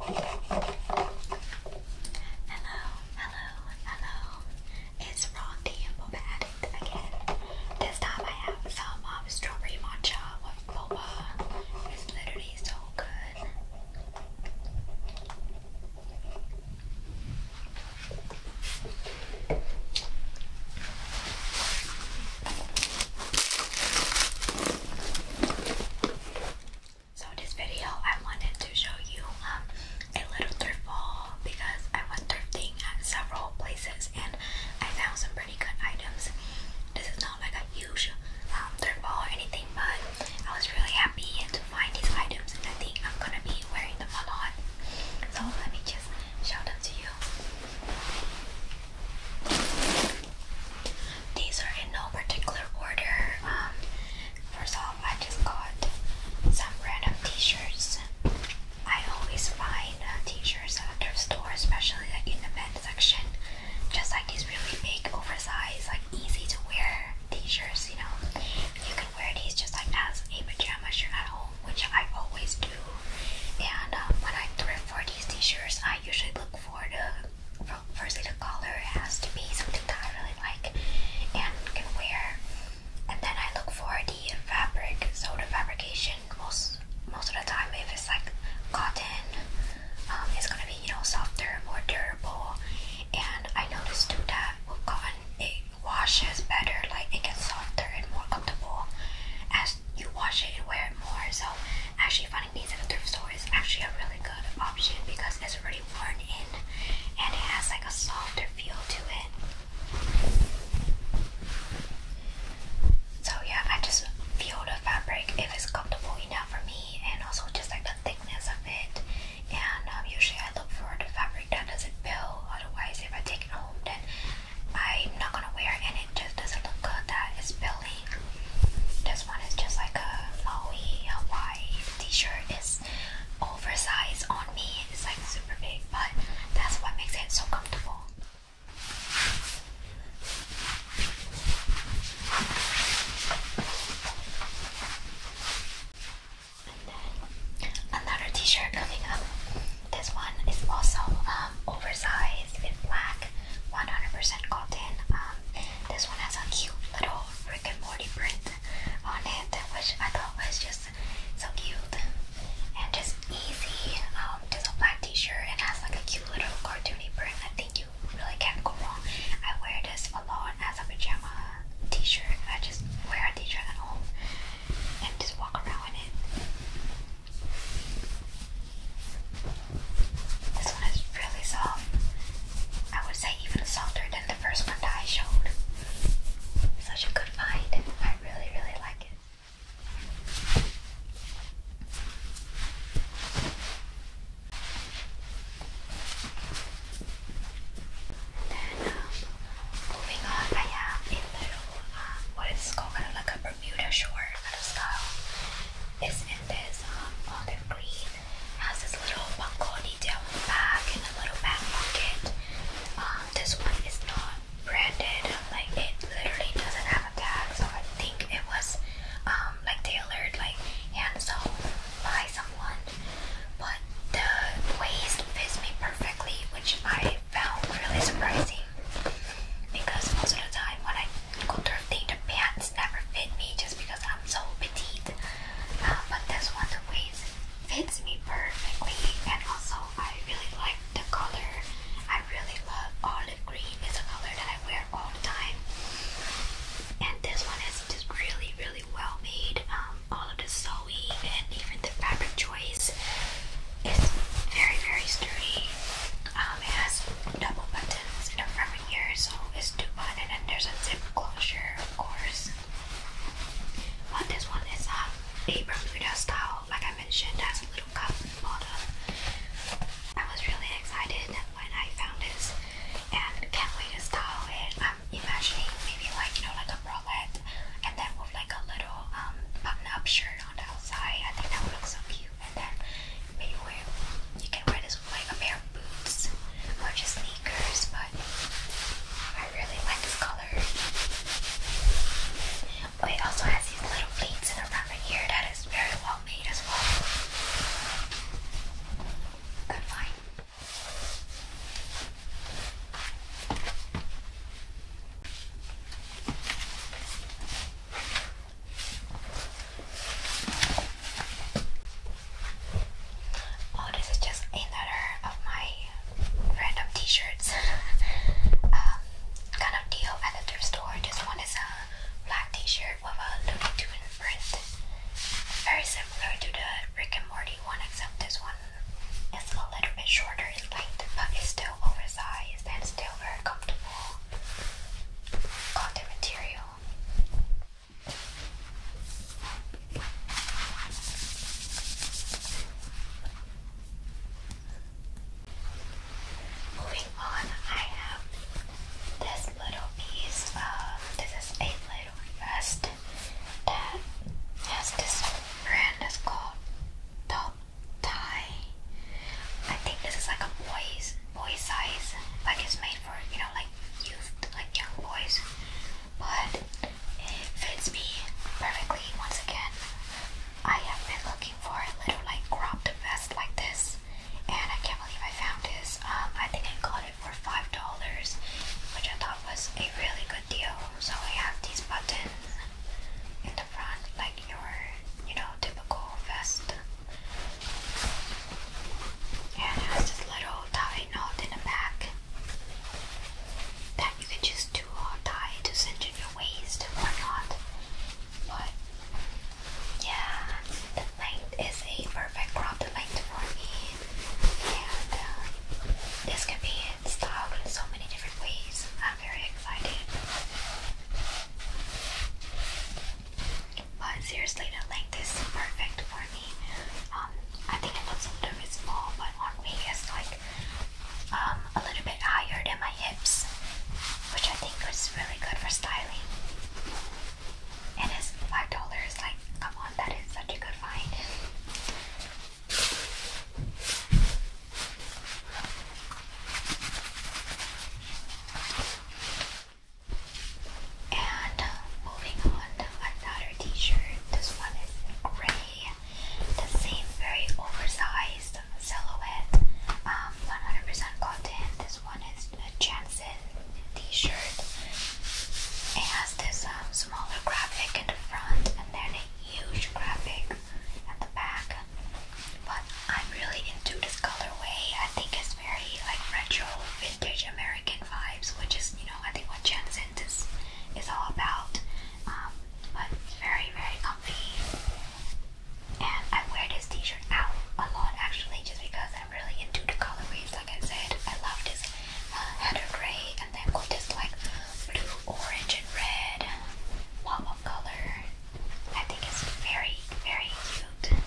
Hello, hello, hello. It's Rondi and the Addict again. This time I have some um, strawberry matcha with boba. It's literally so good. So this video I wanted to show you um, a little thrift haul because I was thrifting at several places and I found some pretty good items. This is not like a huge um, thrift haul or anything but I was really happy to find these items and I think I'm gonna be wearing them a lot. So let me just shout out to you. These are in no particular order. Um, first off, I just got some random t-shirts. I always find uh, t-shirts at their store, especially like in the men's section. Just like these really big, oversized, like easy to wear t-shirts. You know, you can wear these just like as a pajama shirt at home which I always do. And um, when I thrift for these t-shirts, I usually look for the for, firstly the color has to be something that I really like and can wear, and then I look for the fabric. So the fabrication most most of the time, if it's like cotton, um, it's gonna be you know softer, more durable. And I noticed too that with cotton, it washes better, like it gets softer and more comfortable as you wash it and wear it more. So actually finding these at a thrift store is actually a really good option because it's already worn in and it has like a softer feel to it. So yeah, I just feel the fabric it's comfortable enough for me and also just like the thickness of it. And um, usually I look for the fabric that doesn't build. Otherwise, if I take it home, I'm not gonna wear and it just doesn't look good That is Billy. This one is just like a lowe Hawaii t-shirt. is oversized on me. It's like super big, but that's what makes it so comfortable. And then another t-shirt coming up. This one is also um, oversized in black, 100% cotton. Um, this one has a cute little frickin' and print on it, which I thought was just so cute and just easy. Um, just black t-shirt and has like a cute little cartoony print. I think you really can't go wrong. I wear this a lot as a pajama t-shirt. I just wear a t-shirt at home and just walk around in it. This one is really soft. I would say even softer than the first one that I showed. Such a good find. I really, really like it. And then, um, moving on, I have a little um, what is called kind of like a Bermuda short kind of style. It's in this olive um, green. has this little buckle detail on the back and a little back pocket. Um, this one is not branded, like it literally doesn't have a tag, so I think it was um, like tailored, like hand sewn by someone. But the waist fits me perfectly, which I found really surprising because most of the time when I go thrifting, the pants never fit me just because I'm so petite. Uh, but this one, the waist fits me perfectly, and also I really like the color. I really love olive green. It's a color that I wear all the time, and this one is just really, really well made. Um, all of the sewing and even the fabric choice is very very sturdy. Um, it has double buttons in the front here, so it's two button and then there's a zip closure, of course. But this one is a a Bermuda style, like I mentioned, has a little cup in the bottom. I was really excited when I found this and can't wait to style it. I'm imagining maybe like you know like a and then with like a little um, button-up shirt on the outside. I think that would look so cute. And then you can wear this with like a pair of boots or just sneakers. But I really like this color. Oh, also has these little pleats in around the ear that is very well made as well. Good Oh, this is just another of my random t-shirts. Um, kind of deal at the thrift store. This one is a black t-shirt with a Looney Tune print. Very similar to the Rick and Morty one, except this one it's a little bit shorter in length, but it's still oversized and still very comfortable cotton material. Moving on, I have this little piece. Um, this is a little vest uh, that this brand that's called Top Tie. I think this is like a boys boy size, like it's made for you know like youth, like young boys. But it fits me perfectly. Once again, I have been looking for a little like cropped vest like this, and I can't believe I found this. Um, I think I got it for five dollars, which I thought was a really good video. So we have these buttons in the front, like your, you know, typical vest. And has this little tie knot in the back that you can just do or tie to cinch in your waist or not. But yeah, the length is a perfect crop length for me. And uh, this can be styled in so many different ways. I'm very excited. But seriously, the length is perfect for me. Um, I think it looks a little bit small, but on me it's like um, a little bit higher than my hips, which I think is really good for styling. And it's five dollars. Like, come on, that is such a good find. And uh, moving on to another t-shirt. This one is gray. The same very oversized silhouette. Um, 100% cotton. This one is a Janssen t-shirt. It has this um, smaller graphic in the front and then huge graphic at the back, but I'm really into this colorway. I think it's very like retro, vintage American vibes, which is you know I think what Jensen is is all about. Um, but it's very very comfy, and I wear this T-shirt out a lot actually, just because I'm really into the colorways. Like I said, I love this uh, heather gray, and then got this like do orange and red pop color. I think it's very, very cute.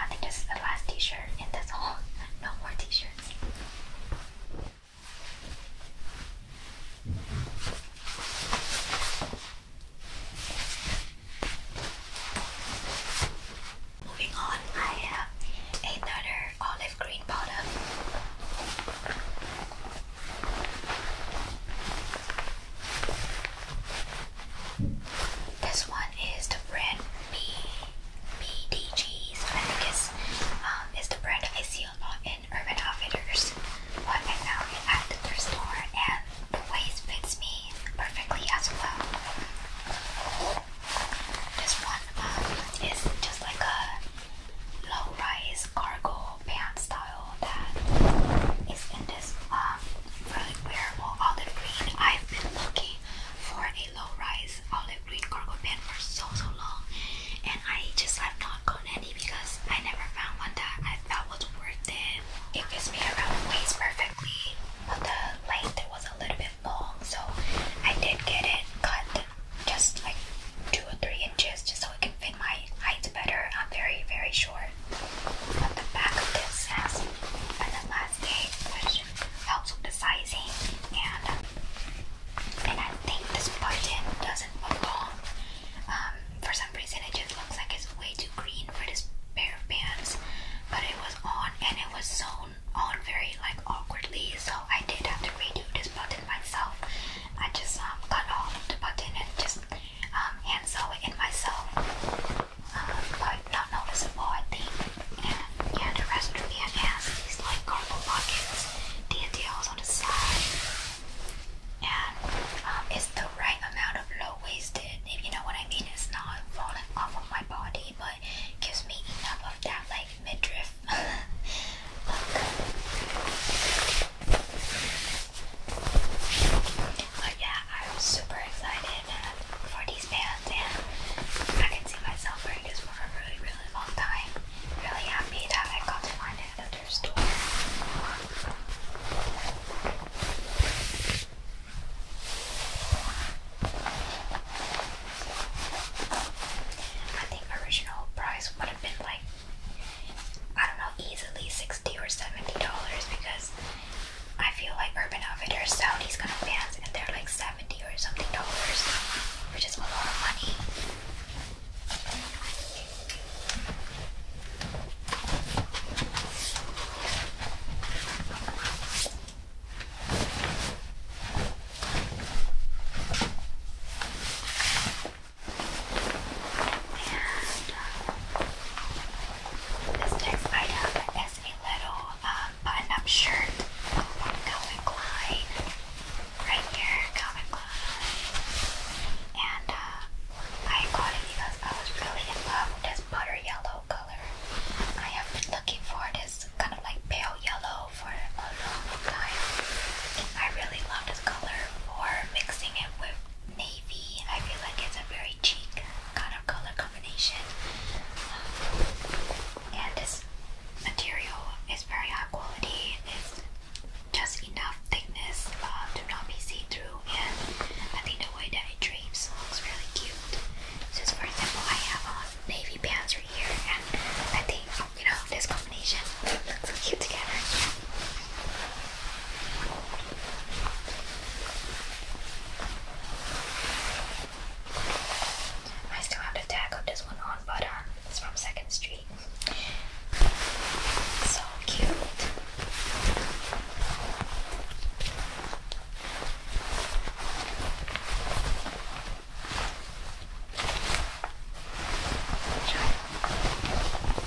I think this is the last t-shirt and that's all. No more t-shirts. Moving on, I have another olive green bottom. This one is the brand B BDG's. I think it's um it's the brand I see a lot in Urban Outfitters, but I found at the thrift store and the waist fits me perfectly as well. This one um, is just like a low-rise cargo pants style that is in this um, really wearable olive green. I've been looking for a low-rise olive green cargo pant for so so long, and I just have not gotten any because I never found one that I felt was worth it. It fits me around the waist perfectly, but the length it was a little bit long, so I did get it cut just like two or three inches just so it can fit my height better. I'm very, very short. But the back of this has an elastic, which helps with the sizing. And and I think this button doesn't belong. Um, for some reason, it just looks like it's way too green for this pair of pants. But it was on, and it was so on very like awkwardly, so I did have to redo this button myself. I just um, cut off the button and just um, hand sew it in myself, um, but not noticeable, I think. And yeah, the rest of it has these like cardboard pockets, details on the side, and um, it's the right amount of low waisted, if you know what I mean. It's not falling off of my body, but gives me enough of that like midriff look. But yeah, I'm super excited uh, for these pants and I can see myself wearing this for a really, really long time. Really happy that I got to find it at another store. I think original price would have been like I don't know, easily sixty or seventy dollars because I feel like Urban Outfitters Saudis these kind of pants and they're like seventy or something dollars, which is a lot of money. And uh, this next item is a little um, button-up shirt Calvin Klein, right here, Calvin Klein. And uh, I got it because I was really in love with this butter yellow color. I have been looking for this kind of like pale yellow for a long time. I really love this color for mixing it with navy. I feel like it's a very cheek kind of color combination. Um, and this material is very high quality. It's just enough thickness uh, to not be see-through and I think the way that it drapes looks really cute so, for example, I have a navy pants right here, and I think you know this combination looks so cute together. I still have the tag this one on, but um, it's from Second Street. So cute.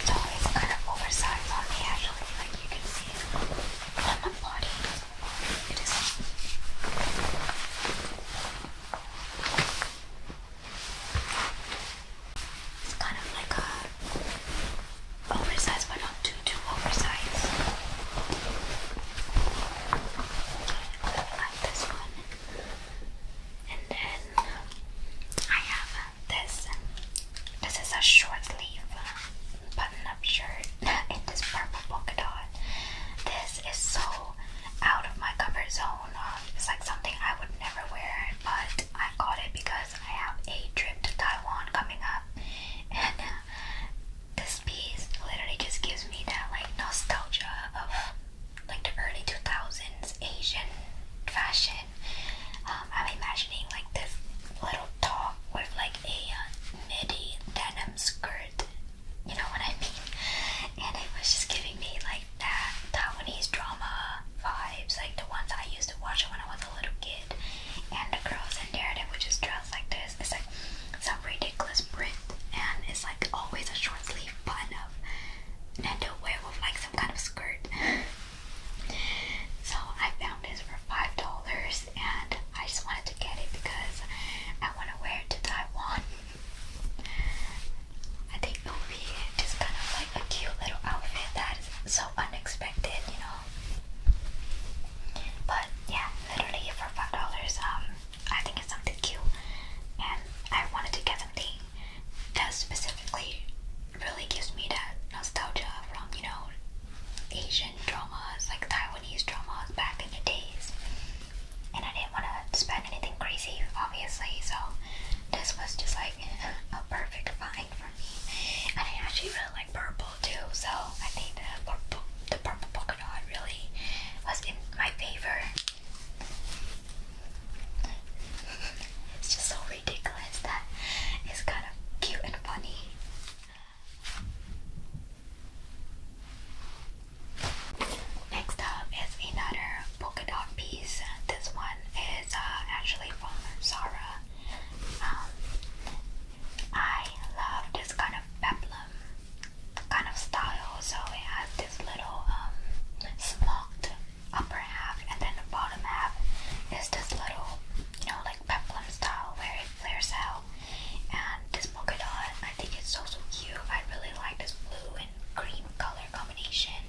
So it's kind of oversized on me actually, like you can see on my body. It is. It's kind of like a Oversize, but not too too oversized. Like this one, and then I have this. This is a short sleeve button-up shirt in this purple polka dot. This is so out of my comfort zone. Um, it's like something I would never wear, but I got it because I have a trip to Taiwan coming up, this piece literally just gives me that like nostalgia of like the early 2000s Asian fashion. Um, I'm imagining like this little top with like a midi uh, denim skirt, you know what I mean? And it was just giving me like that Taiwanese drama vibes, like the ones I used to watch when I was a little kid. And the girls in there that would just dress like this. It's like some ridiculous print, and it's like always a short sleeve button up, and then they'll wear with like some kind of skirt. so I found this for five dollars, and I just wanted to get it because I want to wear it to Taiwan. I think it would be just kind of like a cute little outfit that is so unexpected, you know. But yeah, literally for five dollars, um, I think it's something cute, and I wanted to get something that specifically really gives me that nostalgia from you know Asian dramas, like Taiwanese dramas back in the days. And I didn't want to spend anything crazy, obviously, so this was just like a perfect find. And I actually really like purple too, so I think the purple, the purple polka dot really was in my favor. It's just so ridiculous that it's kind of cute and funny. Next up is another polka dot piece. This one is uh, actually from Zara. Um, I love this kind of peplum kind of style. So it has this little um, smoked upper half, and then the bottom half is this little, you know, like peplum style where it flares out. And this polka dot, I think it's so so cute. I really like this blue and cream color combination.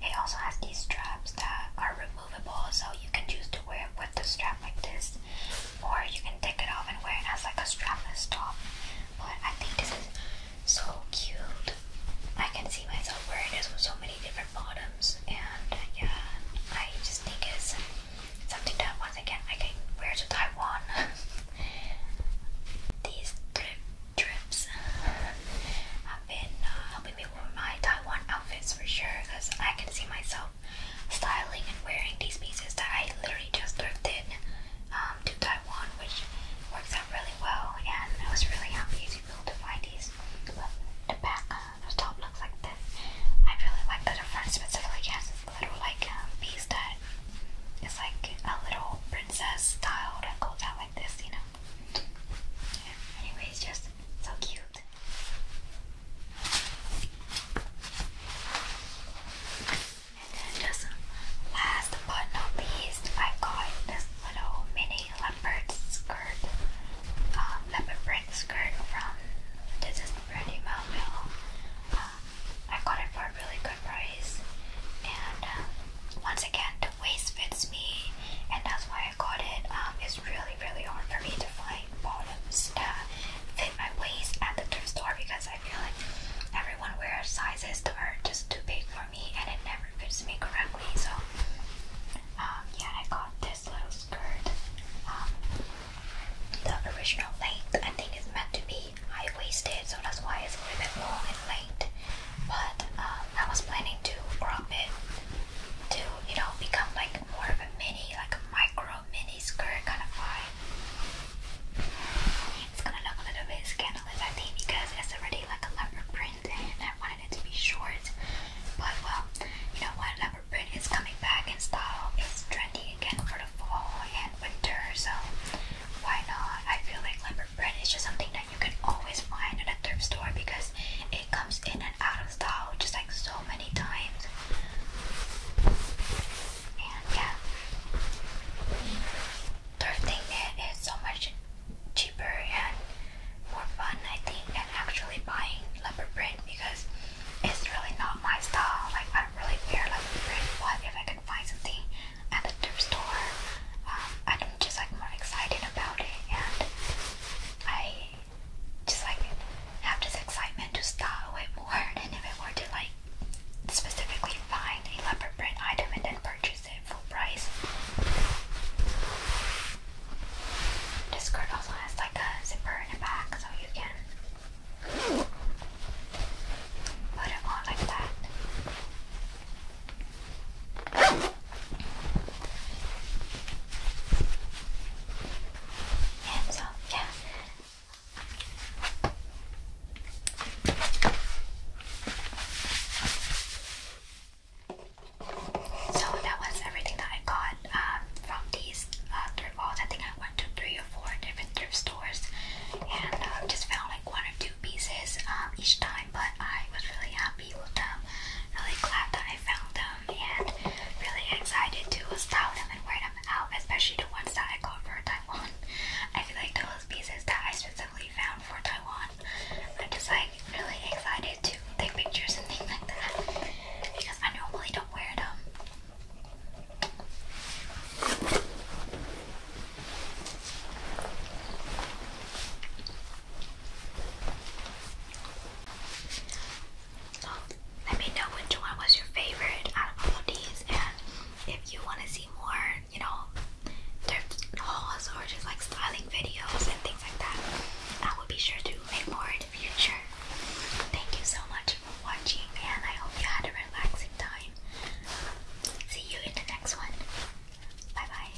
It also has these straps that are removable, so you can choose to wear it with the strap like this, or you can take it off and wear it as like a strapless top. But I think this is so cute. I can see myself wearing this with so many different bottoms, and yeah, I just think it's something that once again I can wear to Taiwan. These trip trips have been uh, helping me with my Taiwan outfits for sure, because I can see myself styling and wearing these pieces that I literally just thrifted um, to Taiwan, which works out really well. And I was really happy to be able to find these. the back, uh, the top looks like this. I really like the front specifically has this little like um, piece that is like a little princess style that goes out like this, you know. Yeah. Anyways, just so cute. And then just last but not least, I got this little mini leopard skirt, um, leopard print skirt from this is pretty Melville. Um, I got it for a really good price, and um, once again, the waist fits me, and that's why I got it, um, it's really really hard for me to find bottoms that fit my waist at the thrift store because I feel like everyone wears sizes that are just too big for me and it never fits me correctly. So um, yeah, I got this little skirt. Um, the original length I think is meant to be high waisted, so that's why it's a little bit long in length. But I was planning to crop it to you know become like more of a mini, like a micro mini skirt kind of vibe. It's gonna look a little bit scandalous, I think, because it's already like a leopard print, and I wanted it to be short. But well, you know what? Leopard print is coming back in style. It's trendy again for the fall and winter, so why not? I feel like leopard print is just something that you can always find at a thrift store because it comes in and out style just like so many times. And yeah, thrifting it is so much cheaper and more fun, I think, than actually buying leopard print because it's really not my style. Like, I don't really wear leopard print, but if I can find something at the thrift store, um, I'm just like more excited about it and I just like have this excitement to stop it more and if I were to like specifically find a leopard print item and then purchase it full price. This skirt also has like a zipper in the back so you can put it on like that. Hands up, yeah. So that was everything that I got um, from these uh, I think I went to three or four different thrift stores and uh, just found like one or two pieces um, each time. But I was really happy with them. Really glad that I found them and really excited to style them and wear them out, especially the ones that I got for Taiwan. I feel like those pieces that I specifically found for Taiwan, I'm just like really excited to take pictures and things like that because I normally don't wear them. So let me know which one was your favorite out of all of these, and if you want to see more, you know, thrift hauls or just like styling videos and things like that, I will be sure to make more in the future. Thank you so much for watching, and I hope you had a relaxing time. See you in the next one. Bye bye.